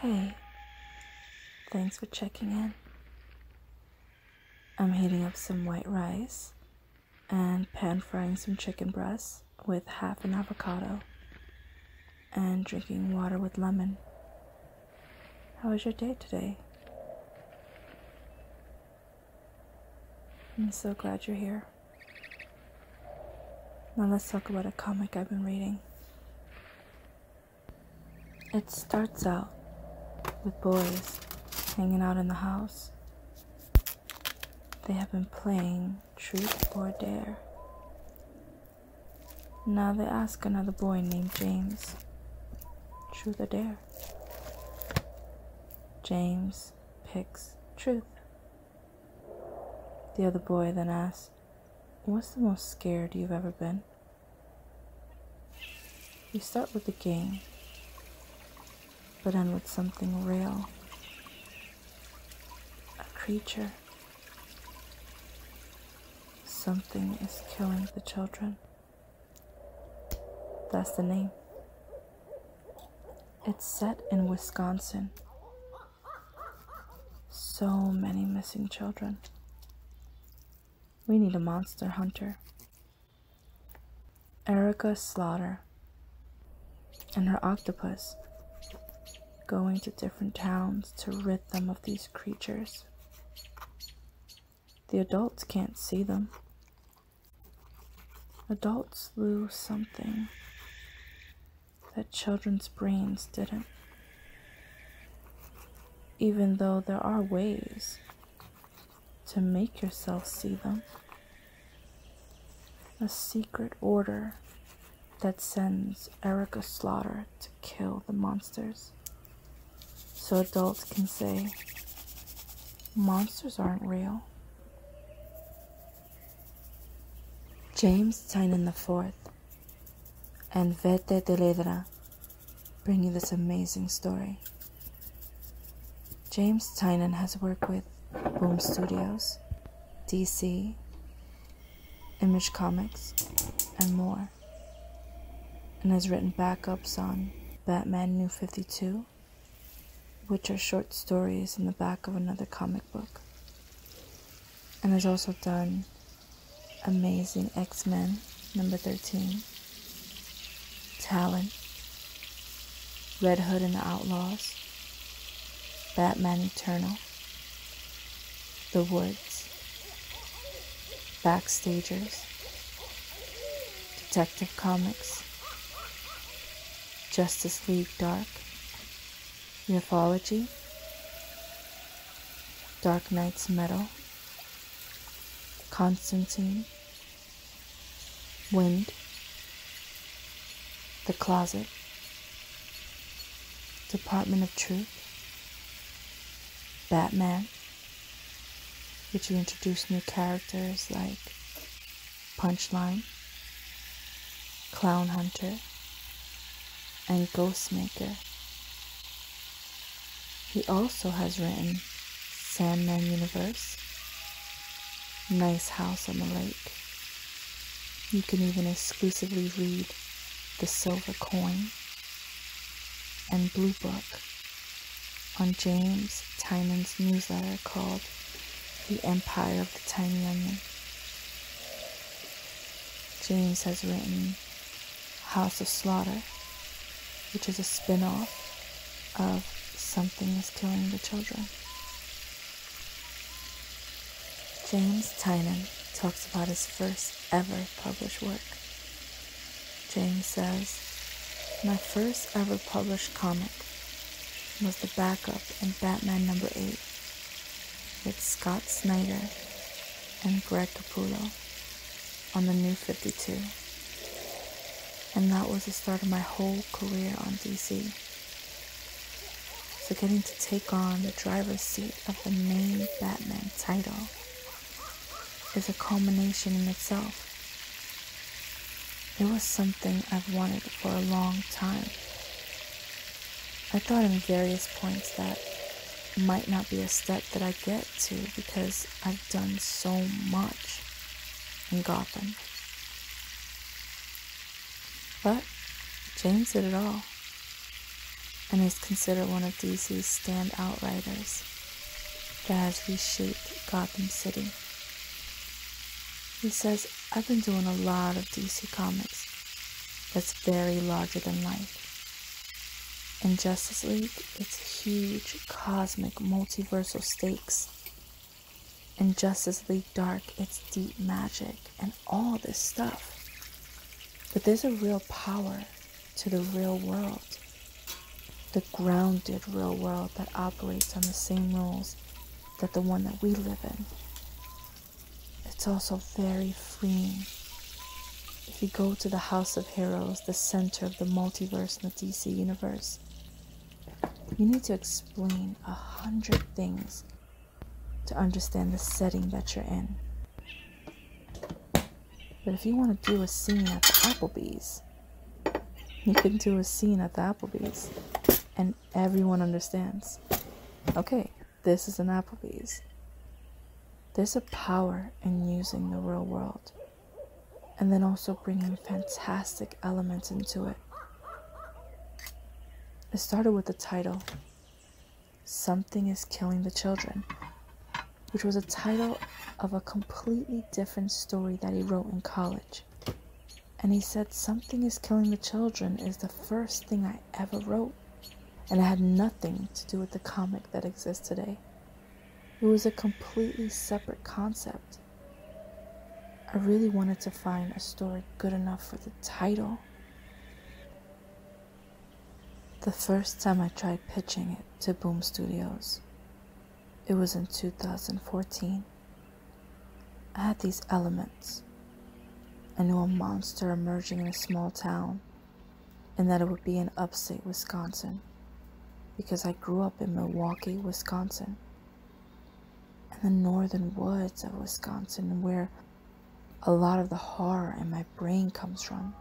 Hey, thanks for checking in. I'm heating up some white rice and pan frying some chicken breasts with half an avocado and drinking water with lemon. How was your day today? I'm so glad you're here. Now let's talk about a comic I've been reading. It starts out with boys hanging out in the house. They have been playing truth or dare. Now they ask another boy named James, truth or dare? James picks truth. The other boy then asks, what's the most scared you've ever been? We start with the game, but end with something real. A creature. Something is killing the children. That's the name. It's set in Wisconsin so many missing children. We need a monster hunter. Erica Slaughter and her octopus going to different towns to rid them of these creatures. The adults can't see them. Adults lose something that children's brains didn't. Even though there are ways to make yourself see them, a secret order that sends Erica Slaughter to kill the monsters. So adults can say, monsters aren't real. James Tynan IV and Vete de Teledra bring you this amazing story. James Tynan has worked with Boom Studios, DC, Image Comics, and more, and has written backups on Batman New 52, which are short stories in the back of another comic book and has also done amazing X Men number 13, Talent, Red Hood and the Outlaws, Batman Eternal, The Woods, Backstagers, Detective Comics, Justice League Dark, Mythology, Dark Knight's Metal, Constantine, Wind, The Closet, Department of Truth, Batman, Did you introduce new characters like Punchline, Clown Hunter, and Ghostmaker. He also has written Sandman Universe, Nice House on the Lake. You can even exclusively read The Silver Coin and Blue Book on James Tynan's newsletter called The Empire of the Tiny Onion. James has written House of Slaughter, which is a spin off of Something is Killing the Children. James Tynan talks about his first ever published work. James says, My first ever published comic was the backup in Batman number 8 with Scott Snyder and Greg Capullo on the New 52. And that was the start of my whole career on DC. So getting to take on the driver's seat of the main Batman title is a culmination in itself. It was something I've wanted for a long time. I thought in various points that might not be a step that I get to because I've done so much in Gotham. But James did it all, and he's considered one of DC's standout writers that has reshaped Gotham City. He says I've been doing a lot of DC Comics that's very larger than life. In Justice League, it's huge, cosmic, multiversal stakes. In Justice League Dark, it's deep magic and all this stuff. But there's a real power to the real world, the grounded real world that operates on the same rules that the one that we live in. It's also very freeing. If you go to the House of Heroes, the center of the multiverse and the DC universe, you need to explain a hundred things to understand the setting that you're in. But if you want to do a scene at the Applebee's, you can do a scene at the Applebee's and everyone understands okay, this is an Applebee's. There's a power in using the real world and then also bringing fantastic elements into it. It started with the title, Something is Killing the Children, which was a title of a completely different story that he wrote in college and he said, Something is Killing the Children is the first thing I ever wrote, and it had nothing to do with the comic that exists today. It was a completely separate concept. I really wanted to find a story good enough for the title. The first time I tried pitching it to Boom Studios, it was in 2014. I had these elements. I knew a monster emerging in a small town, and that it would be in upstate Wisconsin, because I grew up in Milwaukee, Wisconsin, in the northern woods of Wisconsin, where a lot of the horror in my brain comes from.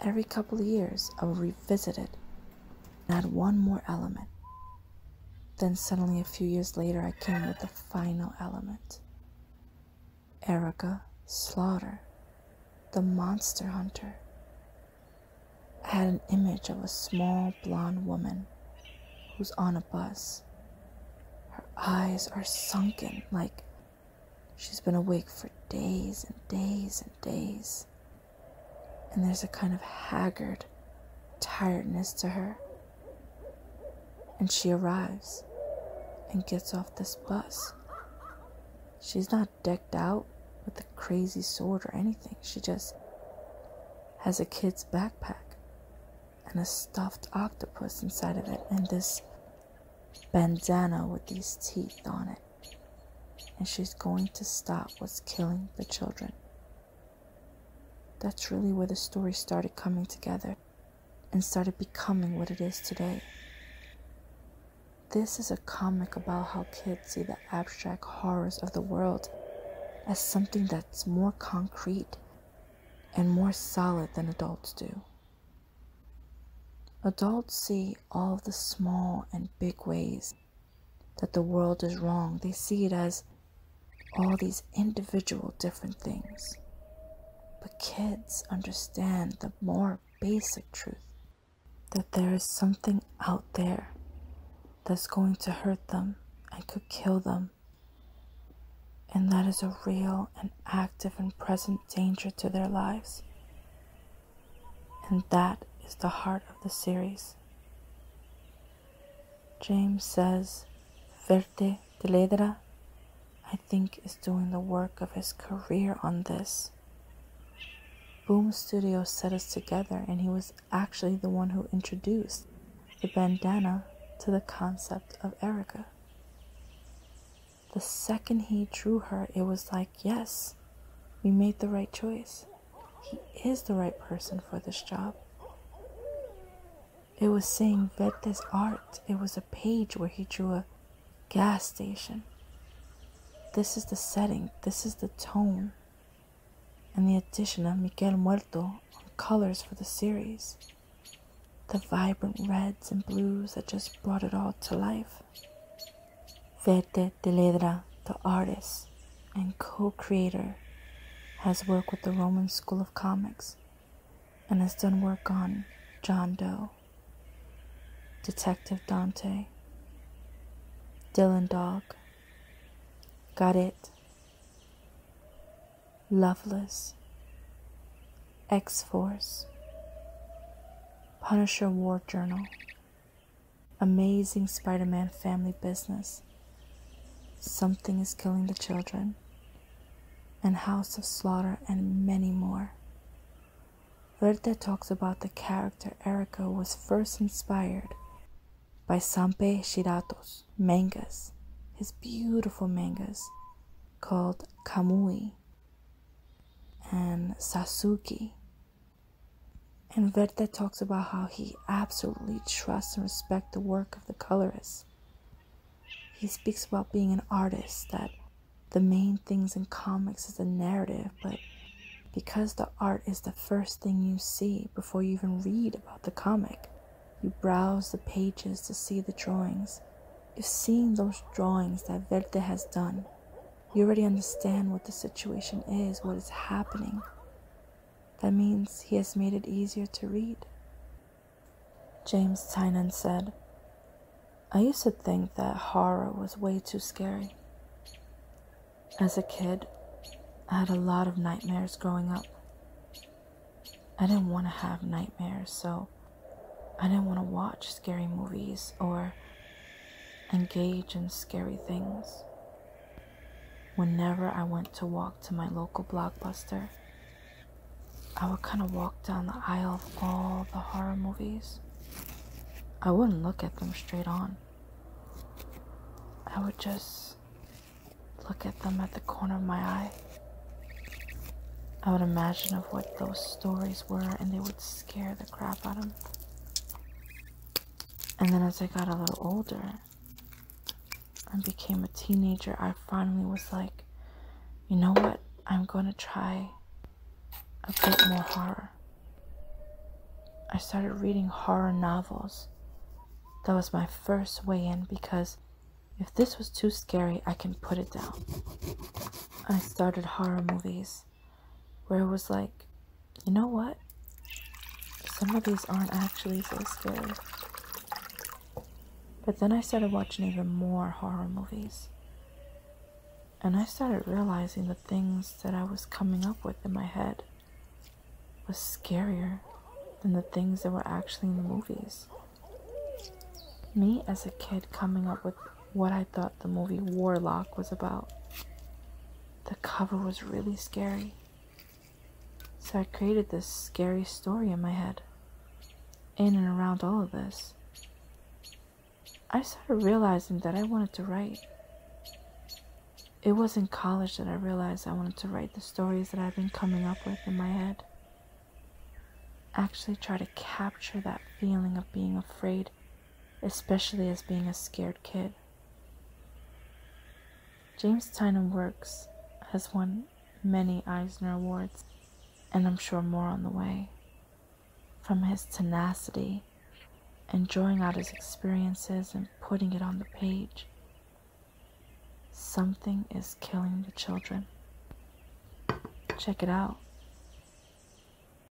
Every couple of years, I would revisit it and add one more element then suddenly, a few years later, I came with the final element Erica Slaughter, the monster hunter. I had an image of a small blonde woman who's on a bus. Her eyes are sunken like she's been awake for days and days and days and there's a kind of haggard tiredness to her. And she arrives and gets off this bus. She's not decked out with a crazy sword or anything. She just has a kid's backpack and a stuffed octopus inside of it and this bandana with these teeth on it. And she's going to stop what's killing the children. That's really where the story started coming together and started becoming what it is today. This is a comic about how kids see the abstract horrors of the world as something that's more concrete and more solid than adults do. Adults see all the small and big ways that the world is wrong. They see it as all these individual different things. But kids understand the more basic truth that there is something out there that's going to hurt them and could kill them. And that is a real and active and present danger to their lives. And that is the heart of the series. James says Verte de Ledra, I think, is doing the work of his career on this. Boom Studio set us together, and he was actually the one who introduced the bandana to the concept of Erica. The second he drew her, it was like, yes, we made the right choice. He is the right person for this job. It was seeing vet art. It was a page where he drew a gas station. This is the setting, this is the tone, and the addition of Miguel Muerto on colors for the series. The vibrant reds and blues that just brought it all to life. Fete de Ledra, the artist and co creator, has worked with the Roman School of Comics and has done work on John Doe, Detective Dante, Dylan Dog, Got It, Loveless, X Force, Punisher War Journal, Amazing Spider Man family business. Something is killing the children. And House of Slaughter, and many more. Verde talks about the character Erika was first inspired by Sampe Shirato's mangas, his beautiful mangas called Kamui and Sasuke and Verta talks about how he absolutely trusts and respects the work of the colorists. He speaks about being an artist, that the main things in comics is the narrative, but because the art is the first thing you see before you even read about the comic, you browse the pages to see the drawings. If seeing those drawings that Verte has done you already understand what the situation is, what is happening. That means he has made it easier to read. James Tynan said, I used to think that horror was way too scary. As a kid, I had a lot of nightmares growing up. I didn't want to have nightmares, so I didn't want to watch scary movies or engage in scary things. Whenever I went to walk to my local blockbuster, I would kind of walk down the aisle of all the horror movies. I wouldn't look at them straight on. I would just look at them at the corner of my eye. I would imagine of what those stories were and they would scare the crap out of me. And then as I got a little older and became a teenager, I finally was like, you know what? I'm going to try a bit more horror. I started reading horror novels. That was my first way in because if this was too scary, I can put it down. I started horror movies where it was like, you know what? Some of these aren't actually so scary. But then I started watching even more horror movies. And I started realizing the things that I was coming up with in my head was scarier than the things that were actually in the movies. Me as a kid coming up with what I thought the movie Warlock was about. The cover was really scary. So I created this scary story in my head. In and around all of this, I started realizing that I wanted to write. It was in college that I realized I wanted to write the stories that I've been coming up with in my head. Actually, try to capture that feeling of being afraid especially as being a scared kid. James Tynan Works has won many Eisner Awards, and I'm sure more on the way, from his tenacity and drawing out his experiences and putting it on the page. Something is killing the children. Check it out.